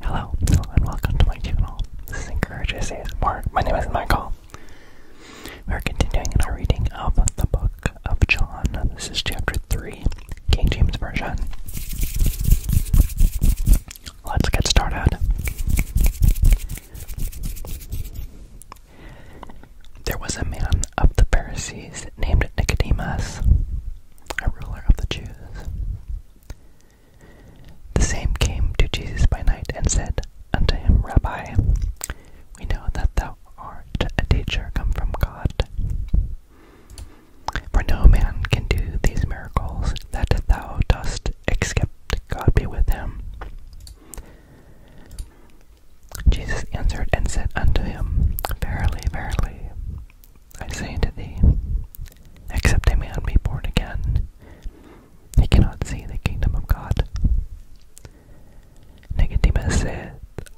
Hello, and welcome to my channel. This is says more. My name is Michael. We are continuing in our reading of the book of John. This is chapter 3, King James Version. Let's get started. There was a man of the Pharisees named Nicodemus, a ruler of the Jews. The same came to Jesus by night and said unto him, Rabbi, we know that thou art a teacher come from God. For no man can do these miracles that thou dost except God be with him. Jesus answered and said unto him, Verily, verily, I say unto thee, except a man be born again, he cannot see the kingdom of God. Nicodemus saith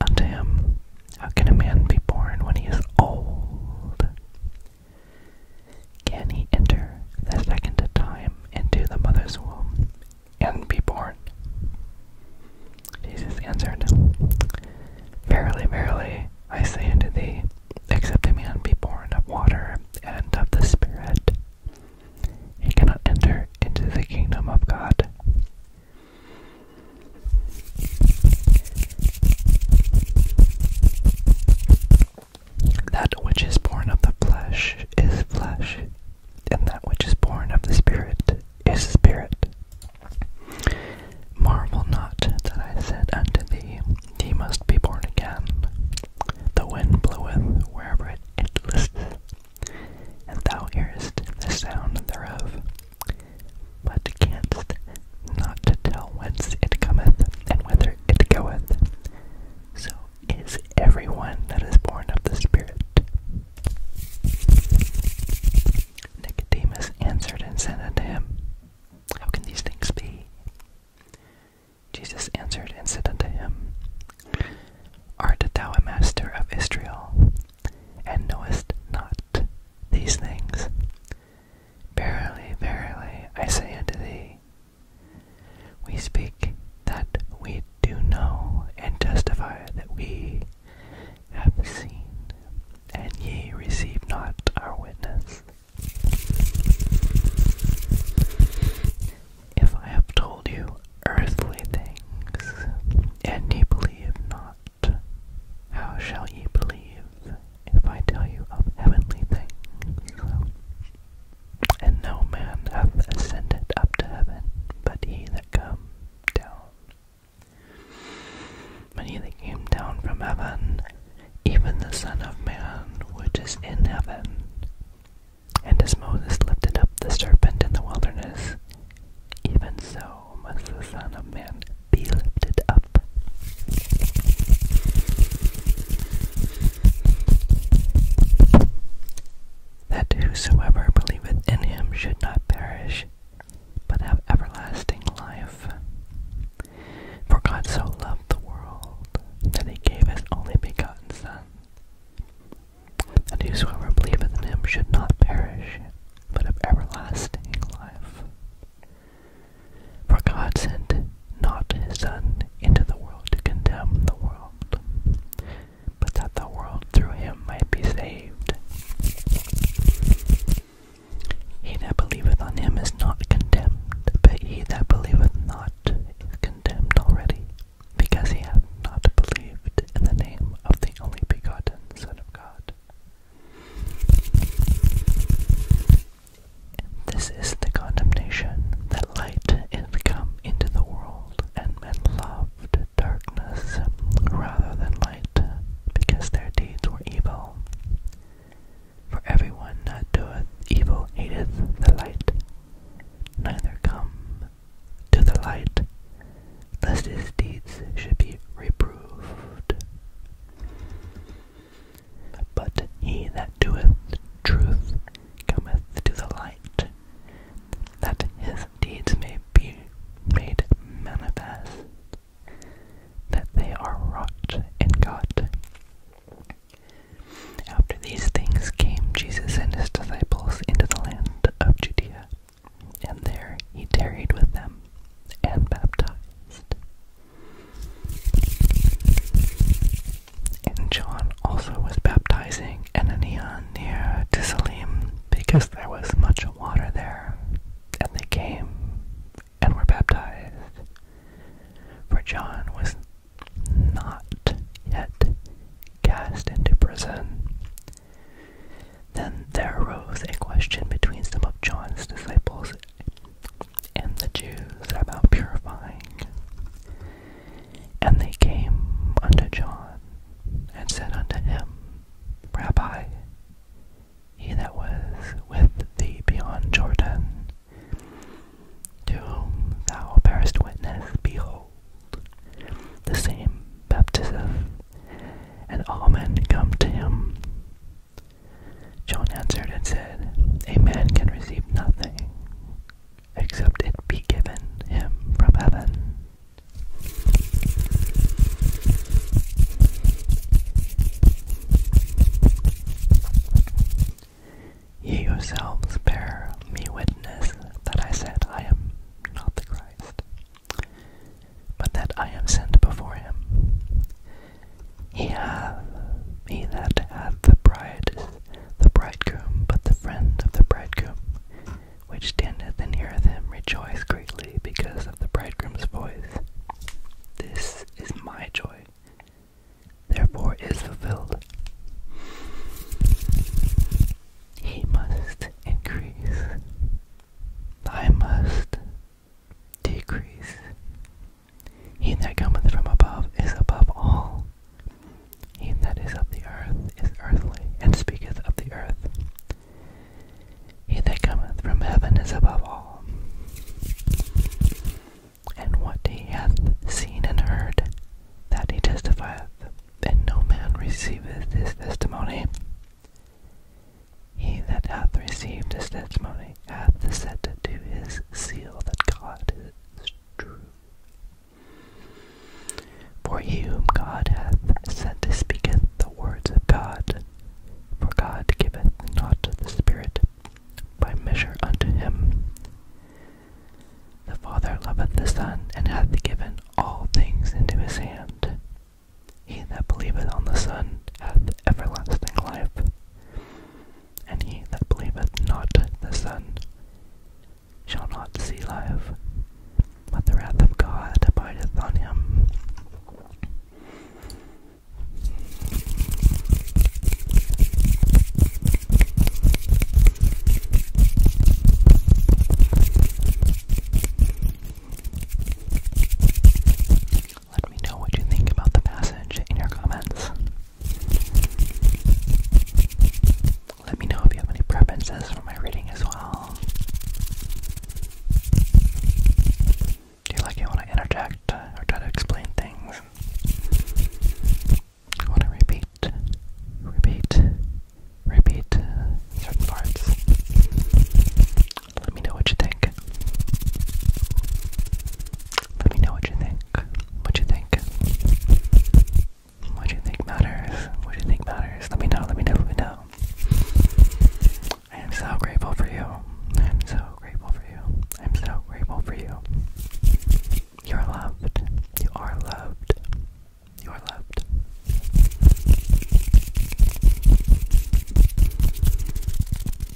unto him, How can a man be born when he is old? Can he enter the second time into the mother's womb and be born? Jesus answered, Verily, verily, I say unto thee, except a man be born of water and of the Spirit, he cannot enter into the kingdom of God. That which is born of the flesh is flesh, and that which is born of the Spirit is spirit. Marvel not that I said unto thee, Ye must be born again. The wind bloweth wherever it, it listeth, and thou hearest the sound thereof, but canst not to tell whence it cometh and whither it goeth. So is everyone that is born of the Spirit. Nicodemus answered and said unto him, How can these things be? Jesus answered and said unto him, Art thou a master of Israel, and knowest not these things? Verily, verily, I say unto thee, we speak that we do know, and testify that we have seen, and ye receive not our witness. If I have told you earthly things, and ye believe not, how shall ye believe if I tell you of heavenly things? And no man hath ascended up to heaven, but he that come down when he came down from heaven, even the Son of Man which is in heaven. And as Moses lifted up the serpent in the wilderness, even so must the Son of Man be lifted up that whosoever believeth in him should not perish, but have everlasting life. For God so loved the world, that he gave his only begotten Son, that whosoever believeth in him should not perish, but have everlasting life. For God sent not his Son into the world to condemn the world, but that the world through him might be saved. He that believeth on him is not condemned, but he that believeth not is condemned already, because he hath not believed in the name of the only begotten Son of God. This is the condemnation that light is come into the world, and men loved darkness rather than light, because their deeds were evil. For everyone that doeth evil hateth the light, neither come to the light, lest his deeds should be reproved. But he that doeth truth cometh to the light, that his deeds may be made manifest, that they are wrought in God. After these things came Jesus and his disciples into the land of Judea, and there he tarried with them and baptized. And John also was baptizing Ananias near Tisalim because there was much water there. And they came and were baptized. For John was not yet cast into prison. Then there arose a question between some of John's disciples and the Jews about purifying and they came unto John, and said unto him, Rabbi, he that was with thee beyond Jordan, to whom thou bearest witness, behold, the same baptism, and all men come to him. John answered and said, A man can receive nothing except it be given him from heaven. Ye yourselves bear me witness that I said I am not the Christ, but that I am sent before him. He hath, he that hath the bride the bridegroom, but the friend of the bridegroom, which standeth and heareth him, rejoice greatly because of the bridegroom's voice. This is my joy, therefore is fulfilled. He must increase, I must decrease. He that cometh from above is above all. He that is of the earth is earthly, and speaketh of the earth. He that cometh from heaven is above all. And what he hath seen and heard, that he testifieth, and no man receiveth his testimony. He that hath received his testimony hath set to his seal that God for he whom God hath sent speaketh the words of God. For God giveth not the Spirit by measure unto him. The Father loveth the Son, and hath given all things into his hand. He that believeth on the Son hath everlasting life, and he that believeth not the Son shall not see life, but the wrath of God abideth on him. Let me know what you think about the passage in your comments. Let me know if you have any preferences for my reading as well. Do you like it when I interject or try to explain things? want to repeat, repeat, repeat certain parts. Let me know what you think. Let me know what you think. What you think. What you think matters. What you think matters. Let me know, let me know, let me know. I am so grateful for you. I am so grateful for you. I am so grateful for you. You are loved. You are loved. You are loved.